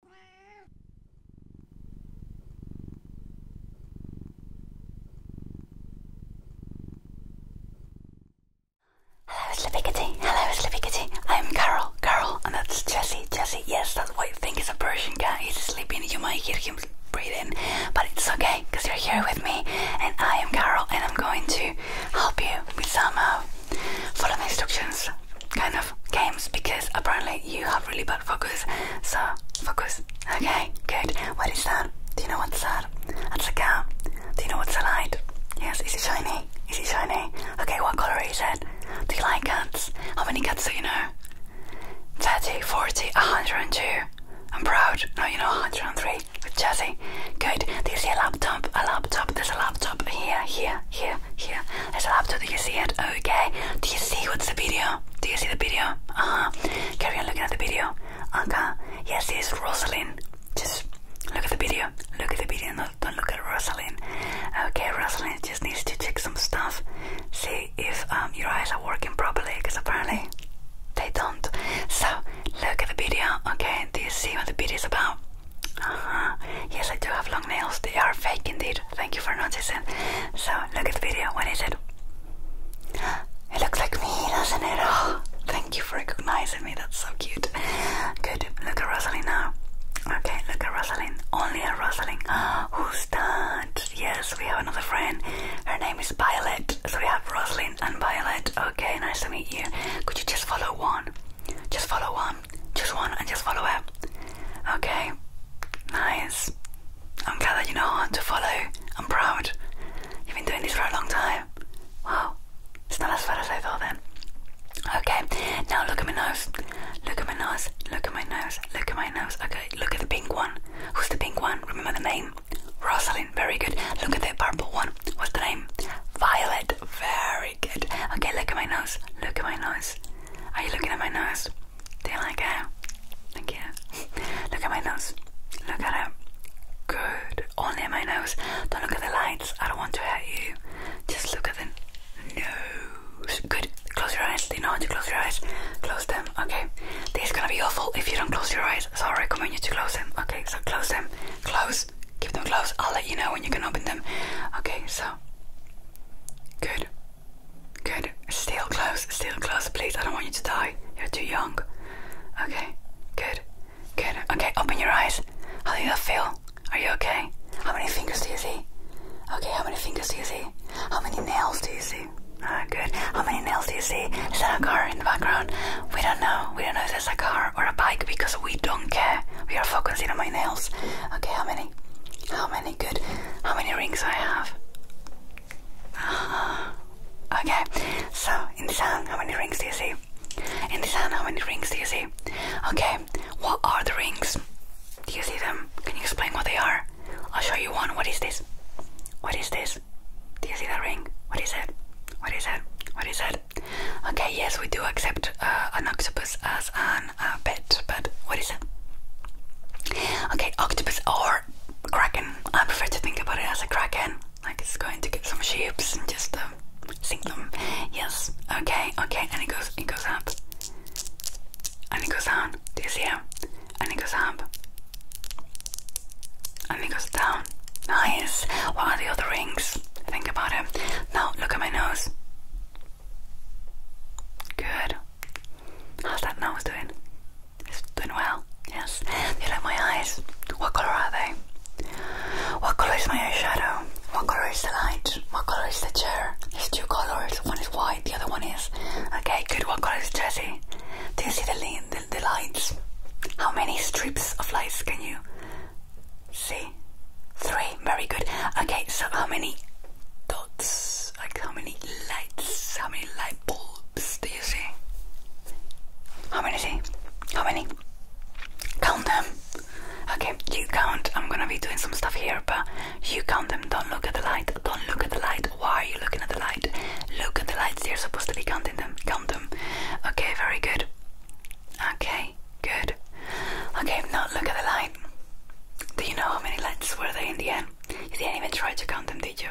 Hello, Slippy Kitty. Hello, Slippy Kitty. I'm Carol. Carol, and that's Jesse. Jesse, yes, that's why I think it's a Persian cat. He's sleeping. You might hear him breathing, but it's okay because you're here with me, and I am Carol, and I'm going to help you with some uh, follow the instructions kind of games because apparently you have really bad focus. So, focus. Okay, good. What is that? Do you know what's that? That's a cat. Do you know what's a light? Yes, is it shiny? Is it shiny? Okay, what color is it? Do you like cats? How many cats do you know? 30, 40, 102. I'm proud. No, you know 103 with Jesse. Good. Do you see a laptop? A laptop. There's a laptop here, here, here, here, I still have to. Do you see it? Okay. Do you see what's the video? Do you see the video? Uh huh. Carry on looking at the video. Okay. Yes, it's Rosalind. Just look at the video. Look at the video. No, don't look at Rosalind. Okay, Rosalind just needs to check some stuff. See if um, your eyes are working properly, because apparently they don't. So look at the video. Okay. Do you see what the video is about? Uh -huh. Yes, I do have long nails. They are fake indeed. Thank you for noticing. So, look at the video. What is it? It looks like me, doesn't it? Oh, thank you for recognizing me. That's so cute. Good. Look at Rosaline now. Okay, look at Rosaline. Only a Rosaline. Who's that? Yes, we have another friend. Her name is Violet. So we have Rosaline and Violet. Okay, nice to meet you. Could you just follow one? Just follow one. Um, just one, and just follow it. Okay, nice. I'm glad that you know how to follow. I'm proud. You've been doing this for a long time. Wow, it's not as bad as I thought then. Okay, now look at my nose. Look at my nose. Look at my nose. Look at my nose. Okay, look at the pink one. Who's the pink one? Remember the name? Rosalind. Very good. Look at the purple one. What's the name? Violet. Very good. Okay, look at my nose. Look at my nose. Are you looking at my nose? Do you like it? Thank you. look at my nose. Look at it. Good. Only at my nose. Don't look at the lights. I don't want to hurt you. Just look at the nose. Good. Close your eyes. Do you know how to close your eyes? Close them. Okay. This is gonna be awful if you don't close your eyes. So I recommend you to close them. Okay, so close them. Close Keep them closed. I'll let you know when you can open them. Okay, so. Good. Good. Still close. Still close, please. I don't want you to die. You're too young. Okay. Good. Good. Okay, open your eyes. How do you feel? Are you okay? How many fingers do you see? Okay, how many fingers do you see? How many nails do you see? Ah, good. How many nails do you see? Is that a car in the background? We don't know. We don't know if there's a car or a bike because we don't care. We are focusing on my nails. Okay, how many? How many? Good. How many rings I have? okay, so in the sun, how many rings do you see? In the sun, how many rings do you see? Okay, what are the rings? Do you see them? Can you explain what they are? I'll show you one. What is this? What is this? Do you see the ring? What is it? What is it? What is it? Okay, yes, we do accept uh, an octopus as an uh, pet, but what is it? Okay, octopus or kraken. I prefer to think about it as a kraken. Like it's going to get some shapes and just um, sink them. Yes. Okay. Okay. And it goes. It goes up. And it goes down. Do you see it? And it goes up. And it goes down. Nice. What are the other rings? Think about him. Now look at my nose. Good. How's that nose doing? It's doing well. Yes. Do you like my eyes? What color are they? What color is my eyeshadow? What color is the light? What color is the chair? There's two colors. One is white, the other one is. Okay, good. What color is Jessie? Do you see the, the, the lights? How many strips of lights can you see? Three. Very good. Okay, so how many dots? Like how many lights? How many light bulbs do you see? How many see? How many? Count them. Okay, you count. I'm gonna be doing some stuff here, but you count them. Don't look at the light. Don't look at the light. Why are you looking at the light? Look at the lights. You're supposed to be counting them. Count them. Okay, very good. Okay, good. Okay, now look at the light. Do you know how many lights were there in the end? You didn't even try to count them, did you?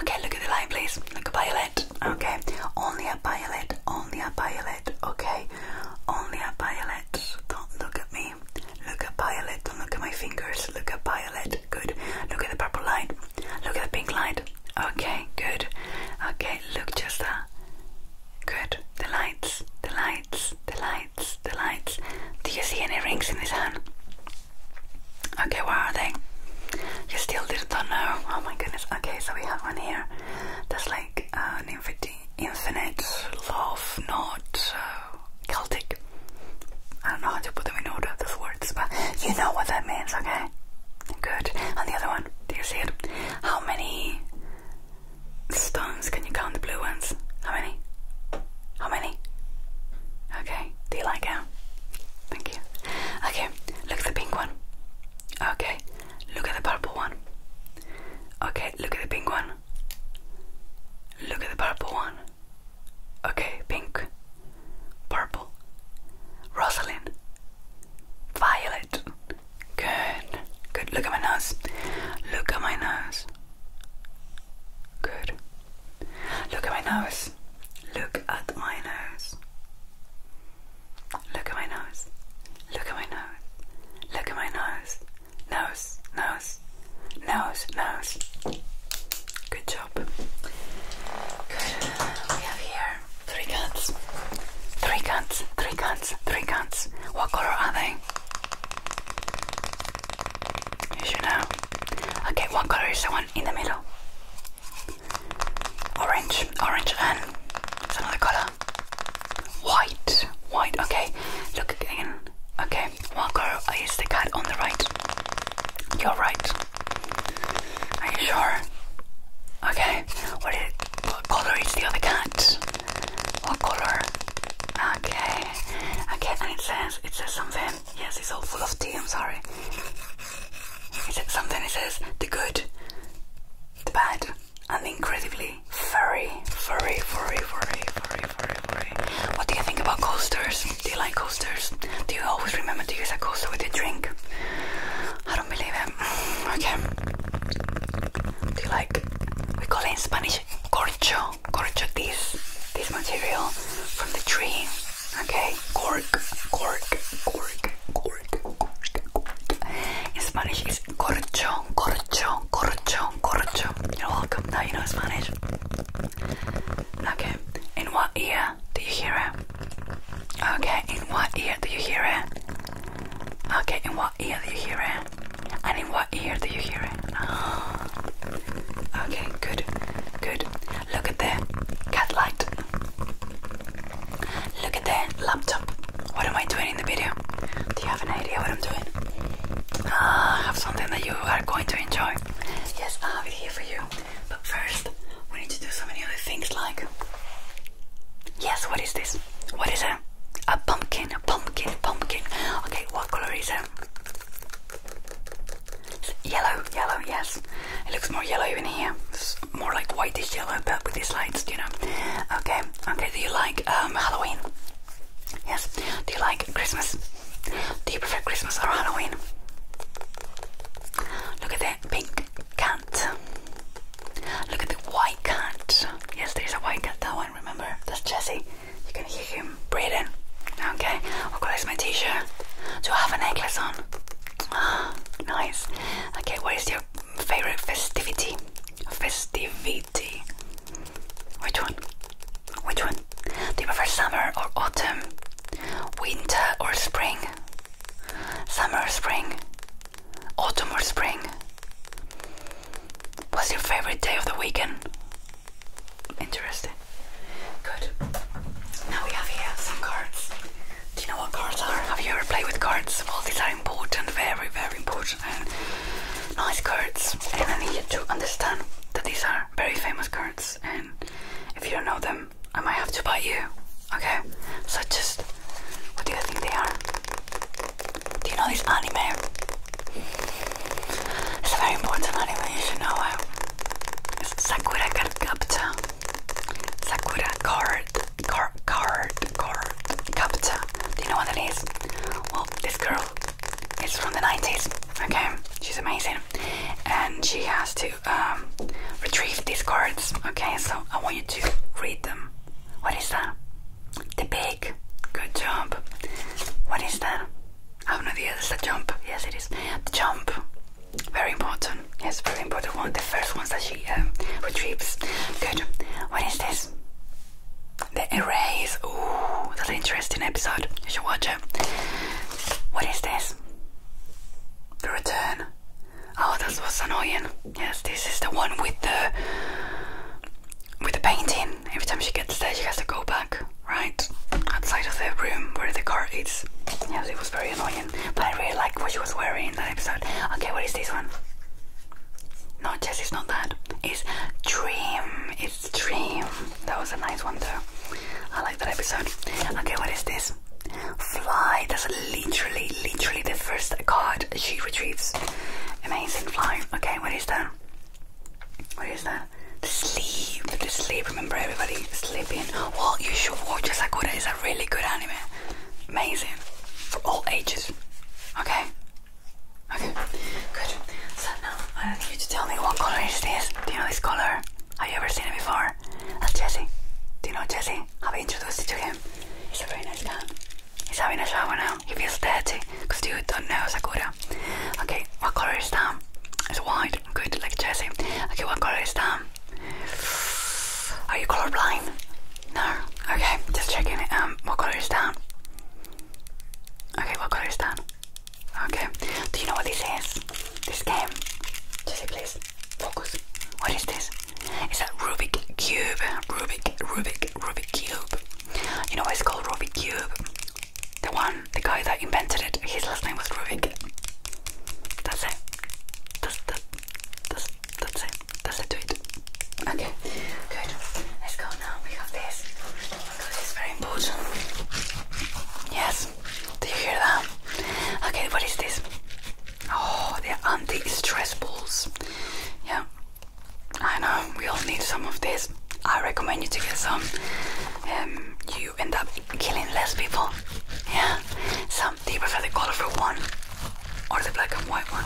Okay, look at the light, please. Look at violet. Okay, only a violet. Only a violet. Okay, only a violet. Don't look at me. Look at violet. Don't look at my fingers. Look at violet. Good. Look at the purple light. Look at the pink light. Okay, good. Okay, look just that. Good. The lights, the lights, the lights, the lights. Do you see any rings in his hand? Okay, where are they? You still didn't know? Oh my goodness. Okay, so we have one here. That's like uh, an infinity, infinite love, not uh, Celtic. I don't know how to put them in order, those words, but you know what that means, okay? Good. And the other one, do you see it? How many stones. Can you count the blue ones? How many? How many? Okay. Do you like it? Thank you. Okay. Look at the pink one. Okay. Look at the purple one. Okay. Look at the pink one. Look at the purple one. Okay. Pink. Purple. Rosalind. Violet. Good. Good. Look at my nose. Look at my nose. Good. Look at my nose. Look at my nose. Look at my nose. Look at my nose. Look at my nose. Nose, nose, nose, nose. Good job. Good. We have here three cats. Three cats, three cats, three cats. What color are they? You know. Okay, what color is the one in the middle? Orange, orange, and another color. White, white. Okay, look again. Okay, what color is the cat on the right? You're right. Are you sure? Okay. What, is, what color is the other cat? What color? Okay. Okay, and it says it says something. Yes, it's all full of tea, I'm sorry. It says something, it says the good, the bad, and incredibly furry, furry, furry, furry, furry, furry, furry. What do you think about coasters? Do you like coasters? Do you always remember to use a coaster with your drink? I don't believe it. Okay. Do you like? We call it in Spanish corcho. Corcho this this material from the tree. Okay. Cork, cork, cork, cork, cork, cork. In Spanish it's corcho, corcho, corcho, corcho. You're welcome. Now you know Spanish. Okay. In what ear do you hear it? Okay, in what ear do you hear it? Okay, in what ear do you hear it? And in what ear do you hear it? Okay, good, good. Look at that cat light. Look at that laptop. What am I doing in the video? Do you have an idea what I'm doing? Ah, I have something that you are going to enjoy. Yes, I have it here for you. But first, we need to do so many other things like Yes, what is this? What is it? A pumpkin, a pumpkin, pumpkin. Okay, what color is it? yellow, yellow, yes. It looks more yellow even here. It's more like whitish yellow, but with these lights, you know. Okay, okay, do you like um, Halloween? Yes. Do you like Christmas? Do you prefer Christmas or Halloween? Look at that pink cat. Look at the white cat. Yes, there's a white cat, that one, remember? That's Jesse. You can hear him breathing. Okay, I'll my t shirt. Do I have a necklace on? Ah, nice. Okay, what is your favorite festivity? Festivity. Which one? Which one? Do you prefer summer or autumn? Winter or spring? Summer, or spring, autumn, or spring? What's your favorite day of the weekend? Interesting. Good. Now we have here some cards. Do you know what cards are? Have you ever played with cards? Well, these are important, very, very important, nice cards. And I need you to understand that these are very famous cards. And if you don't know them, them, I might have to bite you. Okay? So just, what do you think they are? Do you know this anime? It's a very important anime, you should know it. It's Sakura Card Captor. Sakura Card, Card, Card, Card Captor. Do you know what that is? Well, this girl is from the 90s. Okay? She's amazing. And she has to um, retrieve these cards. Okay, so I want you to read them. What is that? The big. Good job. What is that? I have no idea. It's the jump. Yes, it is. The jump. Very important. Yes, very important one. The first ones that she um, retrieves. Good. What is this? The erase. Ooh, that's an interesting episode. You should watch it. What is this? The return. Oh, that was annoying. Yes, this is the one with the with the painting. Every time she gets there, she has to go back right outside of the room where the car is. Yes, it was very annoying, but I really liked what she was wearing in that episode. Okay, what is this one? No, Jess, not that. It's Dream. It's Dream. That was a nice one, though. I like that episode. Okay, what is this? Fly, that's literally, literally the first card she retrieves. Amazing fly. Okay, what is that? What is that? The sleep, the sleep. Remember everybody, sleeping. Well, you should watch Sakura. It's a really good anime. Amazing for all ages. Okay. Okay. Good. So now I need you to tell me what color is this. Do you know this color? Have you ever seen it before? That's Jesse. Do you know Jesse? I've introduced you to him. He's a very nice guy. He's having a shower now. He feels dirty because you don't know Sakura. Okay, what color is Tom? It's white. Good, like Jesse. Okay, what color is Tom? Are you color blind? No. Okay, just checking. Um, what color is Tom? Okay, what color is Tom? Okay. Do you know what this is? This game? Jesse, please. Focus. What is this? It's a Rubik's cube. Rubik, Rubik, Rubik cube. You know why it's called Rubik's cube? The one, the guy that invented it. His last name was Rubik. That's it. That's that. That's that's it. That's it. Do it. Okay. Good. Let's go now. We got this because is very important. Yes. Do you hear that? Okay, what is this? Oh, they're anti-stress balls. Yeah, I know we all need some of this. I recommend you to get some. Um, you end up killing less people. Yeah. Some do you prefer the for one or the black and white one?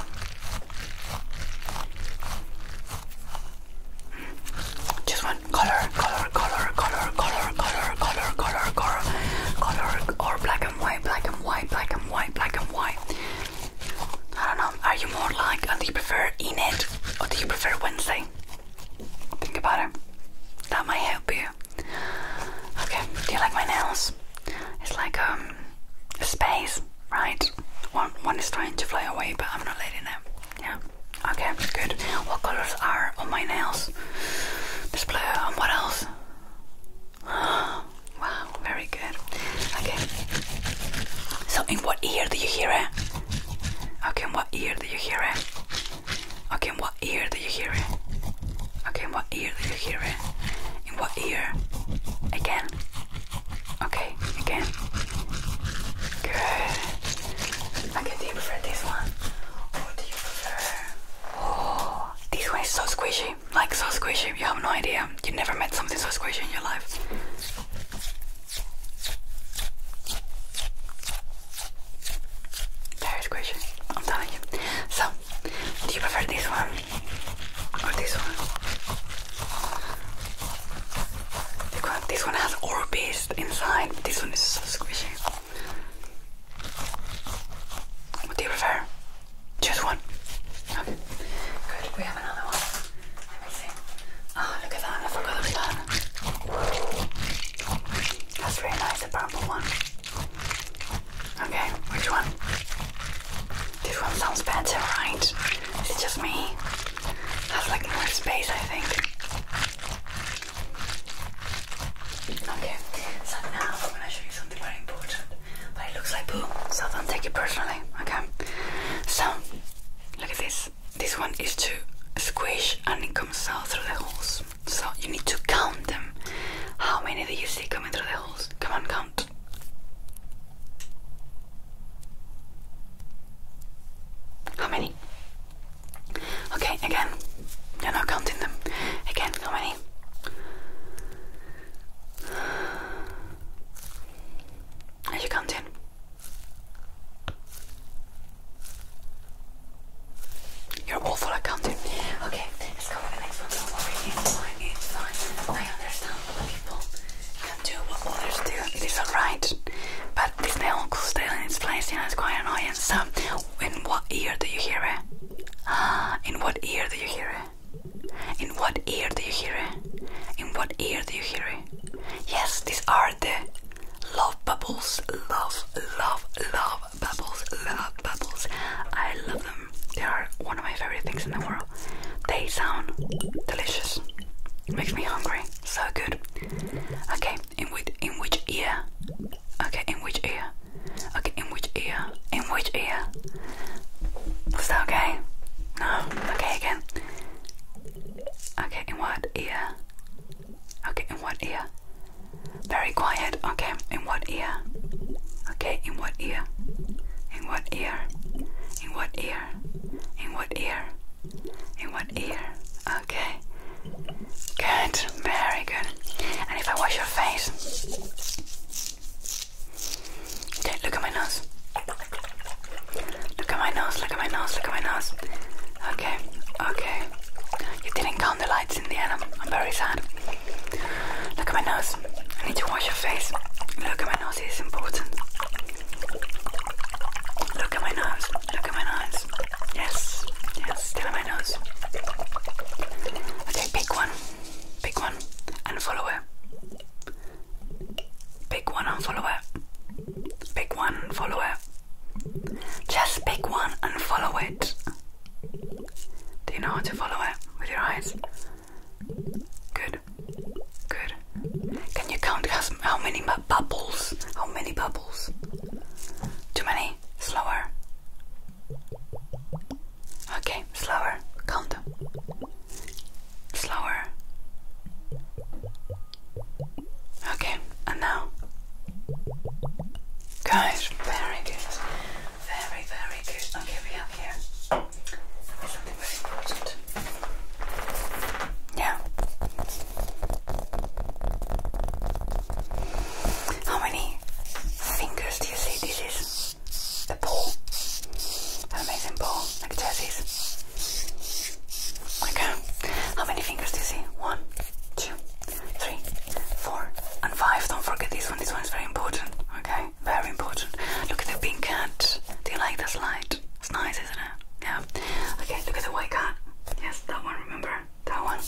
Hmm, just one color, color color, color, color, color, color, color, color, color, or black and white, black and white, black and white, black and white. I don't know. Are you more like, uh, do you prefer in it, or do you prefer Wednesday? Think about it. That might help you. Okay. Do you like my nails? It's like um, a space, right? One, one is trying to fly away, but I'm not letting it. Yeah. Okay, good. What colors are on my nails? There's blue and what else? Wow, very good. Okay. So in what ear do you hear it? Okay, in what ear do you hear it? Okay, in what ear do you hear it? Okay, in what ear do you hear it? In what ear? Again. Okay, again. Good. Okay, do you prefer this one? Or do Oh, this one is so squishy, like so squishy. You have no idea. You never met something so squishy in your life. Very squishy, I'm telling you. So, do you prefer this one or this one? This one has Orbis inside, this one is so squishy. What do you prefer? Choose one. Okay. Good. We have another one. Let me see. Oh, look at that. I forgot about that. That's really nice, the purple one. Okay, which one? This one sounds better, right? It's just me. Has like more space, I think. Okay, so now I'm gonna show you something very important, but it looks like poo, so don't take it personally, okay? So, look at this. This one is to squish and it comes out through the holes. So, you need to count them. How many do you see coming through the holes? Come on, count. How many? Okay, again. You're not counting them. Again, how many? Are you counting? You're awful at counting. Okay, let's go to the next one. I understand what people can do, what others do. It is right. But if my uncle's still in its place, yeah, it's quite annoying. So, in what ear do you hear it? Ah, in what ear do you hear it? In what ear do you hear it? In what ear do you hear it? Yes, these are the love bubbles. Love, love, love bubbles. Love bubbles. I love them. They are one of my favorite things in the world. They sound delicious. Makes me hungry. So good. Okay, in which in which ear? Okay, in which ear? Okay, in which ear? In which ear? Was that okay? No. Okay again. Okay, in what ear? Okay, in what ear? Very quiet. Okay, in what ear? Okay, in what ear? In what ear? In what ear? In what ear? In one ear. Okay. Good. Very good. And if I wash your face. Okay, look at my nose. Look at my nose, look at my nose, look at my nose. Okay, okay. You didn't count the lights in the end. I'm very sad. Look at my nose. I need to wash your face. Look at my nose, it is important. Look at my nose. Look at my eyes. Yes, yes, still at my nose. Okay, pick one, pick one, and follow it. Pick one and follow it. Pick one, and follow it. Just pick one and follow it. Do you know how to follow it with your eyes? Good, good. Can you count how many bubbles? How many bubbles? Too many? Slower. Okay, slower. Count. them. Slower. Okay, and now. Guys, very good. Very, very good. Okay, we have here something very important. Yeah. How many fingers do you see? This is the ball. An amazing ball, like Jesse's. Okay. How many fingers do you see? One, two, three, four, and five. Don't forget this one. This one is very important. Okay, very important. Look at the pink cat. Do you like this light? It's nice. Yeah. Okay, look at the white cat. Yes, that one, remember? That one.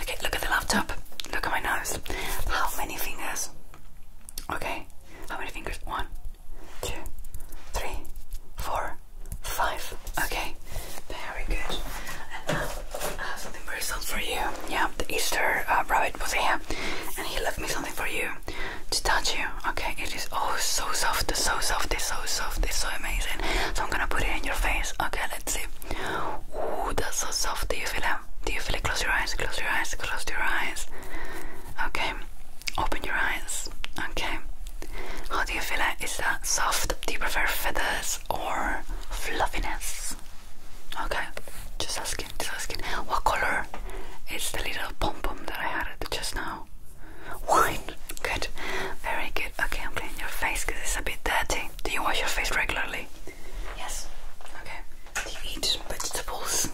Okay, look at the laptop. Look at my nose. How many fingers? Okay, how many fingers? One, two, three, four, five. Okay, very good. And now I have something very for you. Yeah, the Easter uh, rabbit was here and he left me something for you to touch you. Okay, oh so soft, so soft, it's so soft, it's so amazing. So I'm gonna put it in your face. Okay, let's see. Ooh, that's so soft. Do you feel it? Do you feel it? Close your eyes, close your eyes, close your eyes. Okay, open your eyes. Okay. How do you feel it? Is that soft? Do you prefer feathers or fluffiness? Okay, just asking, just asking. What color is the little pom pom that I had just now? Wine. Good. Very good. Okay, I'm cleaning your face because it's a bit dirty. Do you wash your face regularly? Yes. Okay. Do you eat vegetables?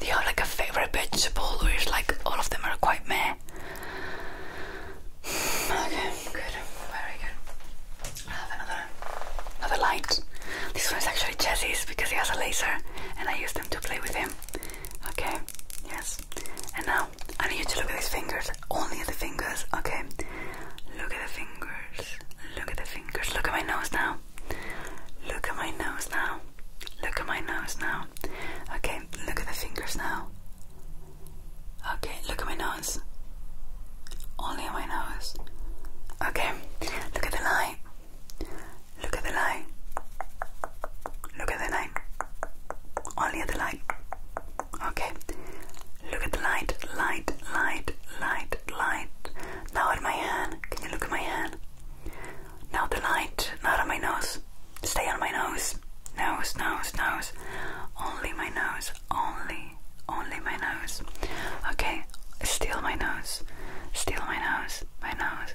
They are like a favorite vegetable or is like all of them are quite meh? Okay, good. Very good. I have another another light. This one is actually Jesse's because he has a laser and I use them to play with him. Okay, yes. And now I need you to look at these fingers. Only at the fingers. Okay. Look at the fingers. Look at the fingers. Look at my nose now. Look at my nose now. Look at my nose now. Okay, look at the fingers now. Okay, look at my nose. Only at my nose. Okay, look at the light. Look at the light. Look at the light. Only the line. Okay. Look at the light, light, light, light, light. Now at my hand. Can you look at my hand? Now the light, not on my nose. Stay on my nose. Nose, nose, nose. Only my nose. Only, only my nose. Okay. Steal my nose. Steal my nose. My nose.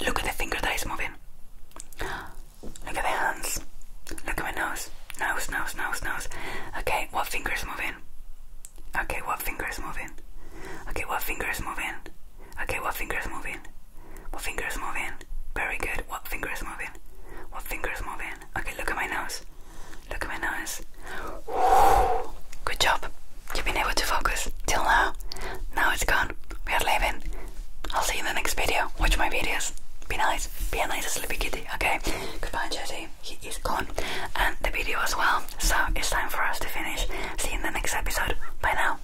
Look at the finger that is moving. Look at the hands. Look at my nose. Nose, nose, nose, nose. Okay, what finger is moving? Okay, what finger is moving? Okay, what finger is moving? Okay, what finger is moving? What finger is moving? Very good. What finger is moving? What finger is moving? Okay, look at my nose. Look at my nose. Good job. You've been able to focus till now. Now it's gone. We are leaving. I'll see you in the next video. Watch my videos. Be nice. Be a nice sleepy kitty, okay? Goodbye, Jetty. He is gone. And the video as well. So it's time for us to finish. See you in the next episode. Bye now.